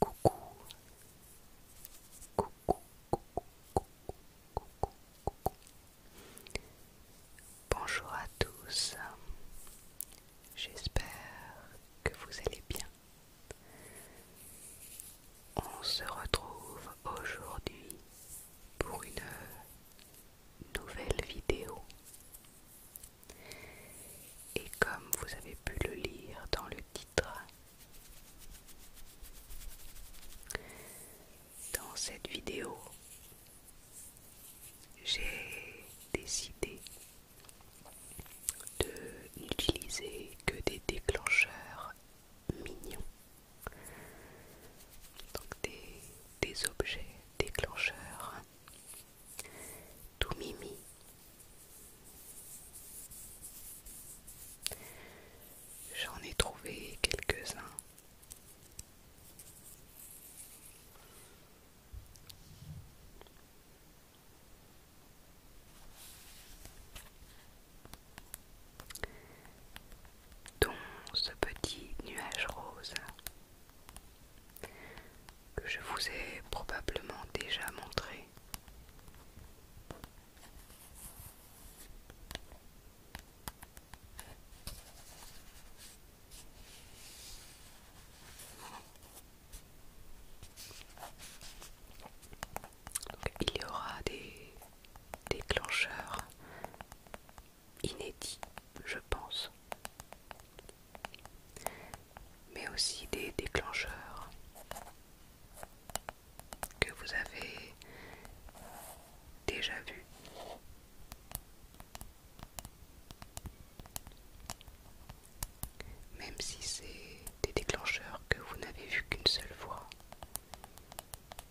Coucou. Coucou, coucou, coucou, coucou, coucou. Bonjour à tous. J'espère que vous allez bien. On se retrouve aujourd'hui pour une nouvelle vidéo. Et comme vous avez pu le lire dans le titre, dans cette vidéo, j'ai décidé de n'utiliser que des déclencheurs mignons. Donc des des objets déclencheurs. Tout mimi. J'en ai trouvé quelques-uns. dont ce petit nuage rose que je vous ai probablement déjà montré. il y aura des déclencheurs inédits, je pense. Mais aussi des déclencheurs que vous avez déjà vus. Même si c'est des déclencheurs que vous n'avez vus qu'une seule fois,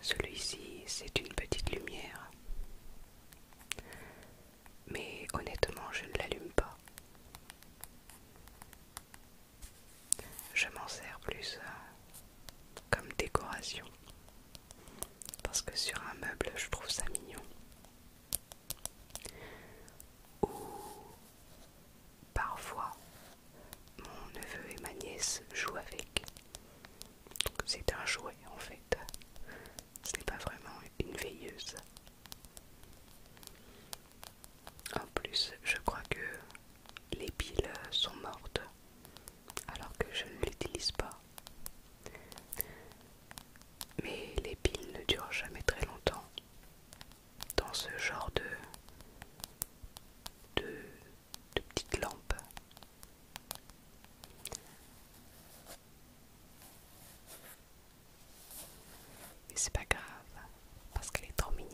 Celui-ci, c'est une petite lumière mais honnêtement, je ne l'allume pas. Je m'en sers plus euh, comme décoration. Parce que sur un meuble, je trouve ça mignon. Ou parfois, mon neveu et ma nièce jouent avec. C'est un jouet en fait. Ce n'est pas vraiment une veilleuse. En plus, je crois que les piles sont mortes alors que je ne l'utilise pas. Mais les piles ne durent jamais très longtemps dans ce genre de, de petites lampes. Mais c'est pas grave, parce qu'elle est trop mignonne.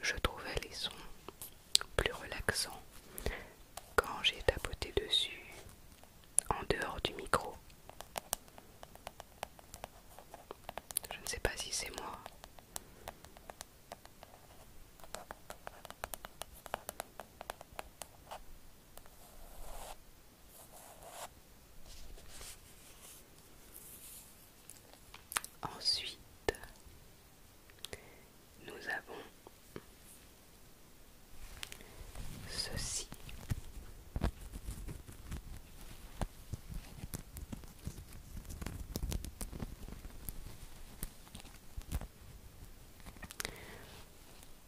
Je trouvais les sons plus relaxant quand j'ai tapoté dessus en dehors du micro. Je ne sais pas si c'est moi. Ensuite, nous avons ceci.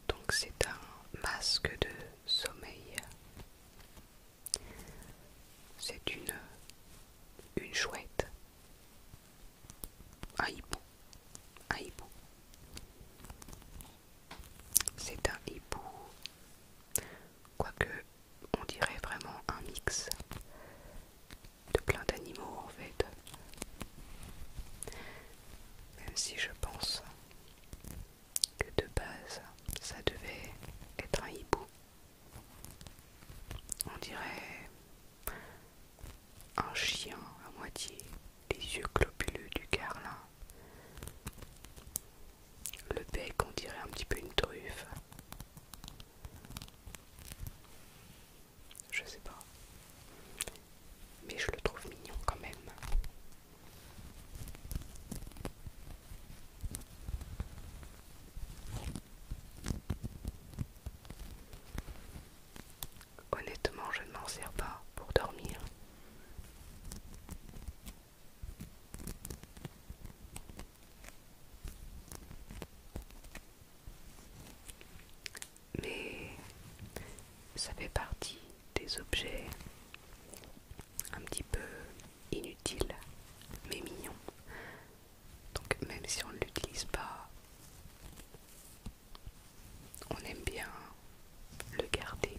Donc c'est un masque de sommeil. C'est une une chouette un hibou. C'est un hibou. Quoique, on dirait vraiment un mix de plein d'animaux en fait. Même si je pense que de base, ça devait être un hibou. On dirait un chien à moitié, les yeux globuleux du carlin. Le bec, on dirait un petit peu une truffe. Je sais pas. Mais je le trouve mignon quand même. Honnêtement, je ne m'en sers pas pour dormir. Mais ça fait partie des objets un petit peu inutiles mais mignons donc même si on ne l'utilise pas, on aime bien le garder.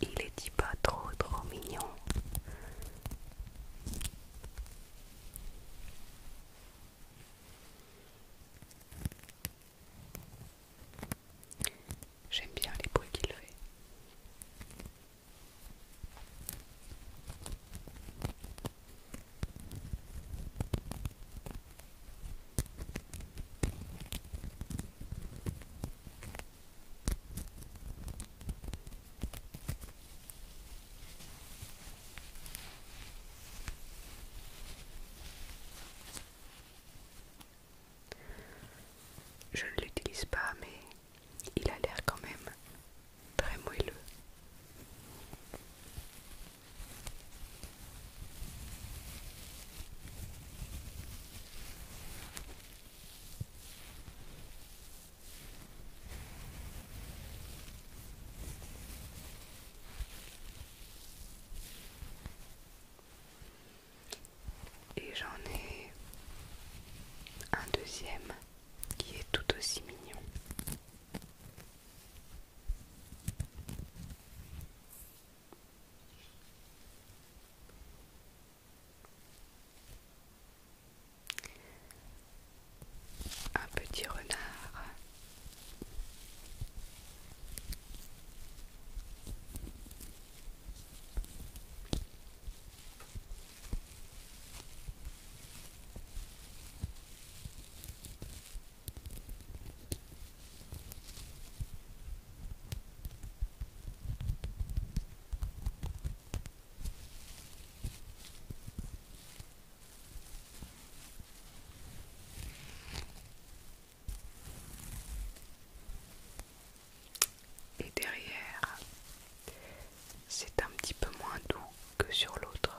Il est dit pas trop trop mignon. J'aime bien les bruits qu'il fait. Je ne l'utilise pas, mais il a l'air quand même très moelleux. Et j'en ai un deuxième qui est tout aussi mignon. Un petit renard. Et derrière, c'est un petit peu moins doux que sur l'autre.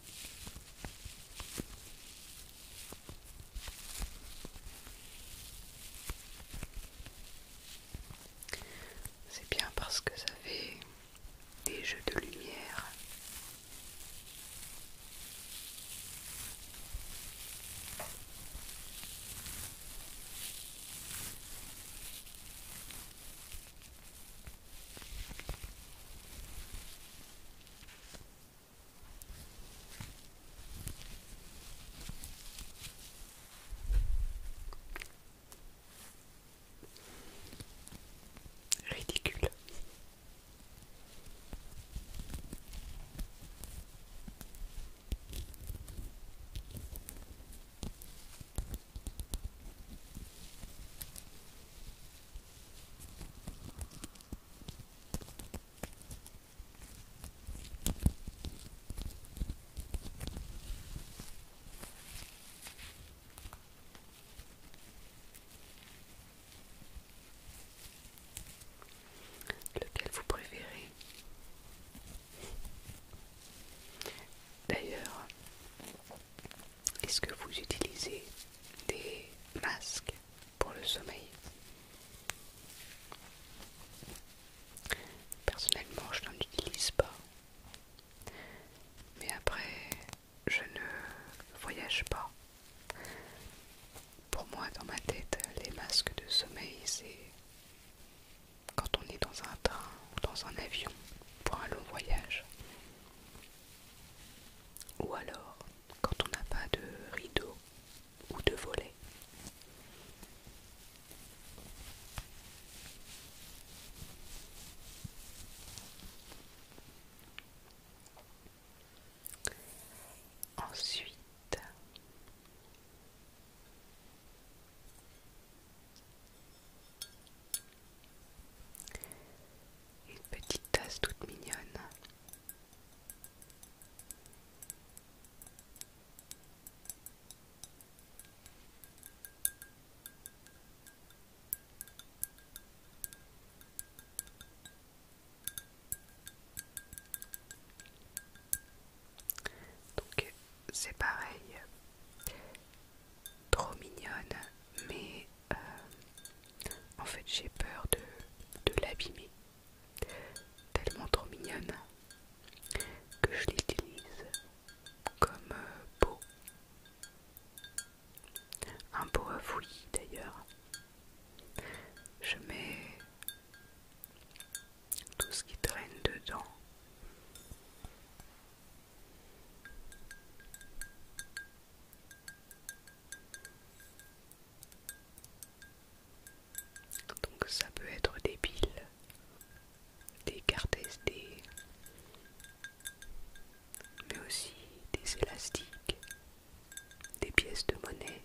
C'est bien parce que ça fait des jeux de lumière. Ridicule. Lequel vous préférez D'ailleurs, est-ce que vous utilisez des masques pour le sommeil Personnellement, je n'en utilise pas. Mais après, je ne voyage pas. Pour moi, dans ma tête, les masques de sommeil, c'est quand on est dans un train ou dans un avion pour un long voyage. Ou alors, quand on n'a pas de rideau ou de volet. Ensuite, une petite tasse toute mignonne. Donc c'est pareil, trop mignonne, mais euh, en fait j'ai peur de, de l'abîmer. Tellement trop mignonne que je l'utilise comme euh, pot. Un pot à d'ailleurs. Je mets tout ce qui traîne dedans. Donc ça peut être des piles, des cartes SD, mais aussi des élastiques, des pièces de monnaie,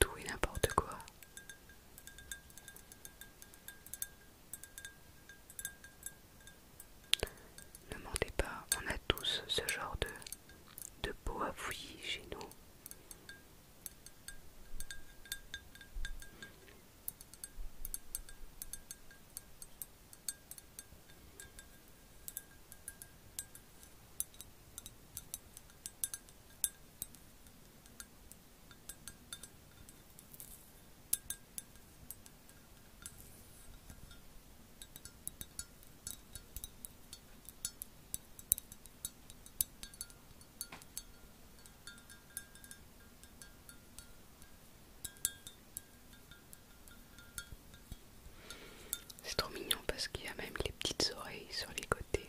tout et n'importe quoi. Ne mentez pas, on a tous ce genre de, de peau à fouiller chez nous. C'est trop mignon parce qu'il y a même les petites oreilles sur les côtés.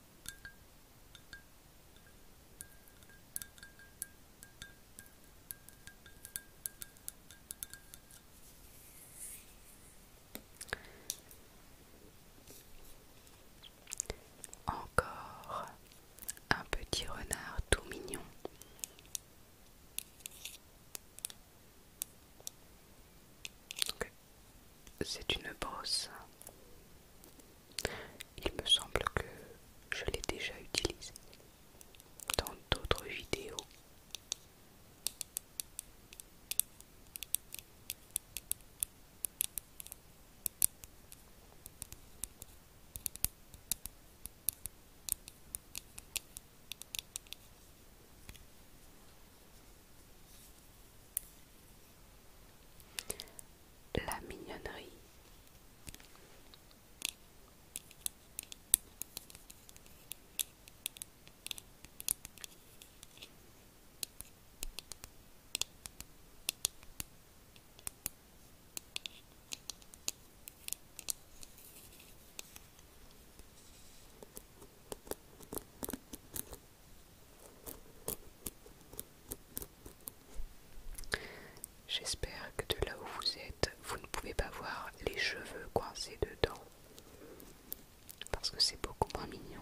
Encore un petit renard tout mignon. C'est une brosse il me semble que je l'ai déjà utilisé dans d'autres vidéos. La mignonnerie. J'espère que de là où vous êtes, vous ne pouvez pas voir les cheveux coincés dedans. Parce que c'est beaucoup moins mignon.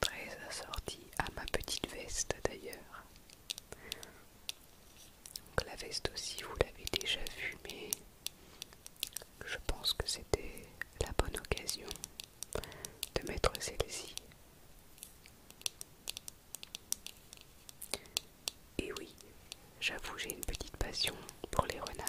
Très assortie à ma petite veste d'ailleurs. Donc la veste aussi, vous l'avez déjà vue, mais je pense que c'était la bonne occasion de mettre celle-ci. Et oui, j'avoue, j'ai une petite passion pour les renards.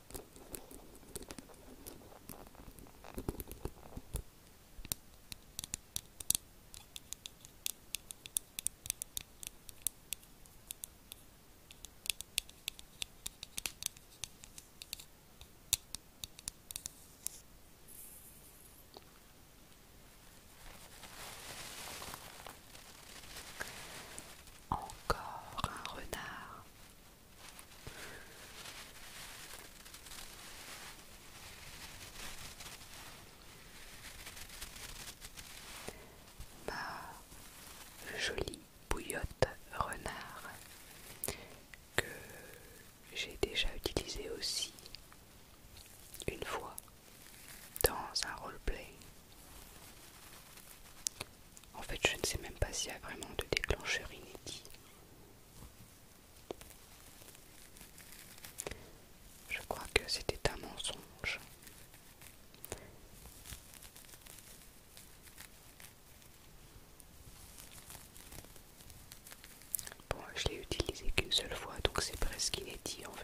Encore un renard. Ma jolie bouillotte renard que j'ai déjà utilisé aussi une fois dans un roleplay. En fait, je ne sais même pas s'il y a vraiment de déclencheur inédit. Je crois que c'était un mensonge. Bon, je l'ai utilisé qu'une seule fois, donc c'est presque inédit en fait.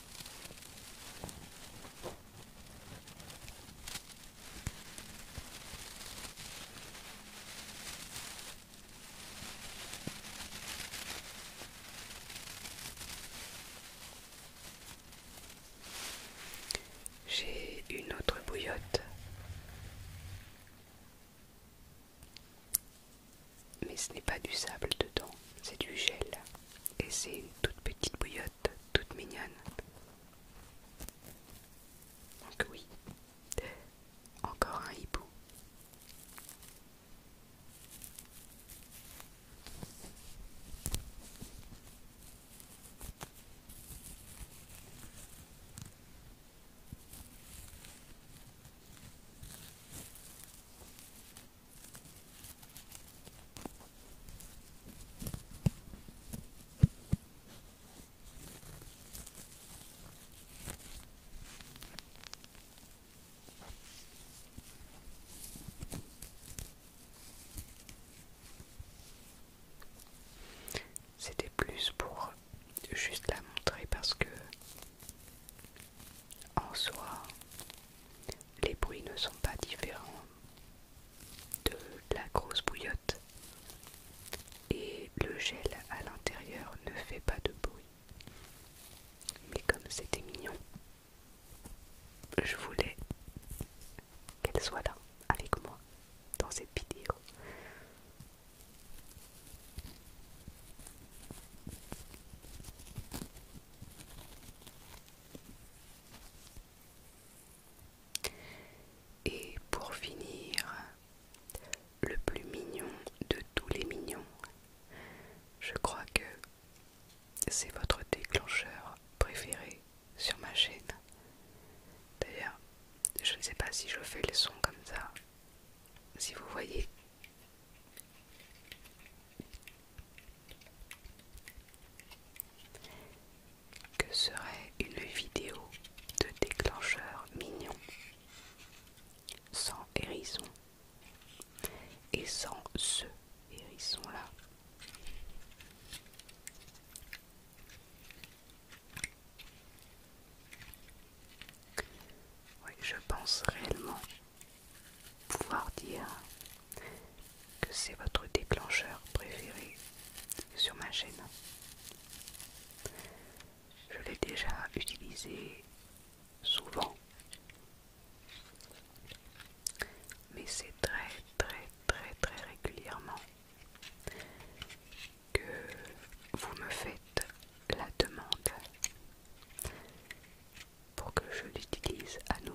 J'ai une autre bouillotte mais ce n'est pas du sable dedans, c'est du gel. Et c'est une toute petite bouillotte, toute mignonne. Donc oui, encore un hibou. C'était plus pour juste la montrer parce que en soi, les bruits ne sont pas différents de la grosse bouillotte et le gel à l'intérieur ne fait pas de bruit. Mais comme c'était mignon, je voulais qu'elle soit là avec moi dans cette vidéo. Et pour finir, le plus mignon de tous les mignons, je crois que c'est votre déclencheur préféré sur ma chaîne. D'ailleurs, je ne sais pas si je fais le son comme ça si vous voyez que serait une vidéo de déclencheur mignon sans hérisson et sans ce hérisson là oui, je pense réellement pouvoir dire que c'est votre déclencheur préféré sur ma chaîne. Je l'ai déjà utilisé souvent. Mais c'est très très très très régulièrement que vous me faites la demande pour que je l'utilise à nouveau.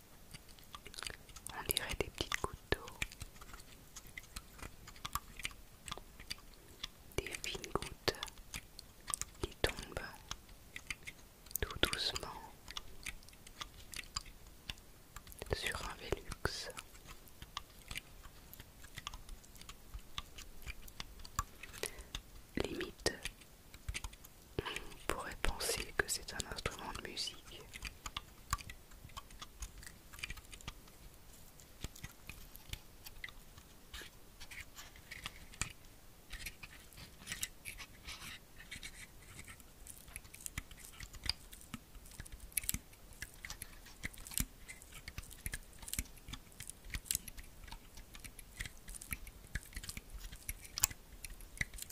On dirait des petites gouttes d'eau. Des fines gouttes qui tombent tout doucement sur un Vélux Limite, on pourrait penser que c'est un instrument de musique.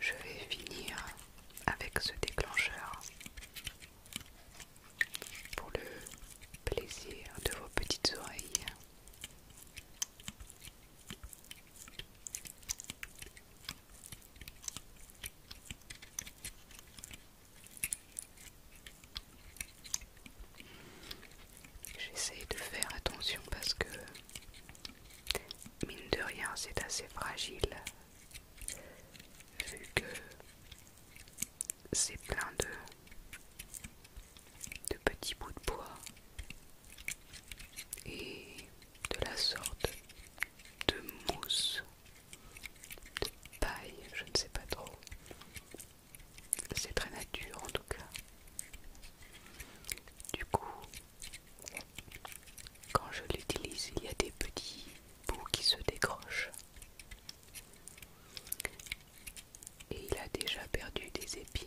Je vais finir avec ce déclencheur pour le plaisir de vos petites oreilles. J'essaye de faire attention parce que, mine de rien, c'est assez fragile vu que c'est plein de, de petits bouts de bois et de la sorte de mousse de paille, je ne sais pas trop. C'est très nature en tout cas. Du coup, quand je l'utilise, il y a des petits bouts qui se décrochent. Et il a déjà perdu des épines.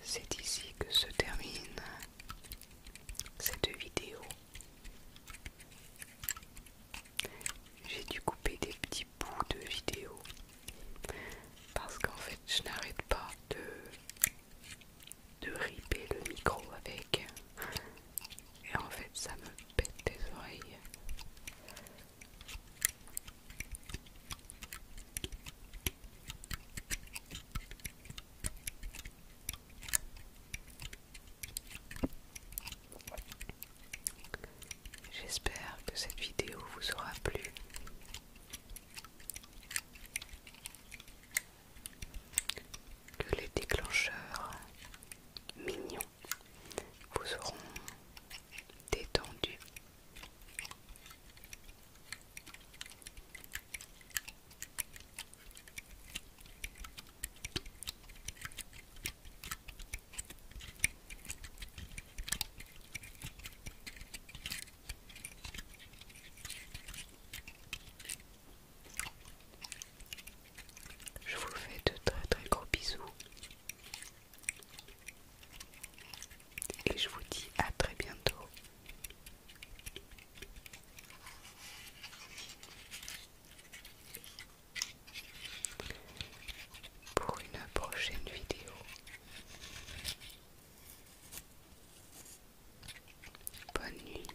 C'est ici que se termine cette vidéo. J'ai dû couper des petits bouts de vidéo parce qu'en fait je n'arrête pas de, de riper le micro avec et en fait ça me pète les oreilles. J'espère que cette vidéo vous aura plu. Que les déclencheurs mignons vous auront détendu je vous fais de très très gros bisous et je vous dis à très bientôt. Pour une prochaine vidéo. Bonne nuit.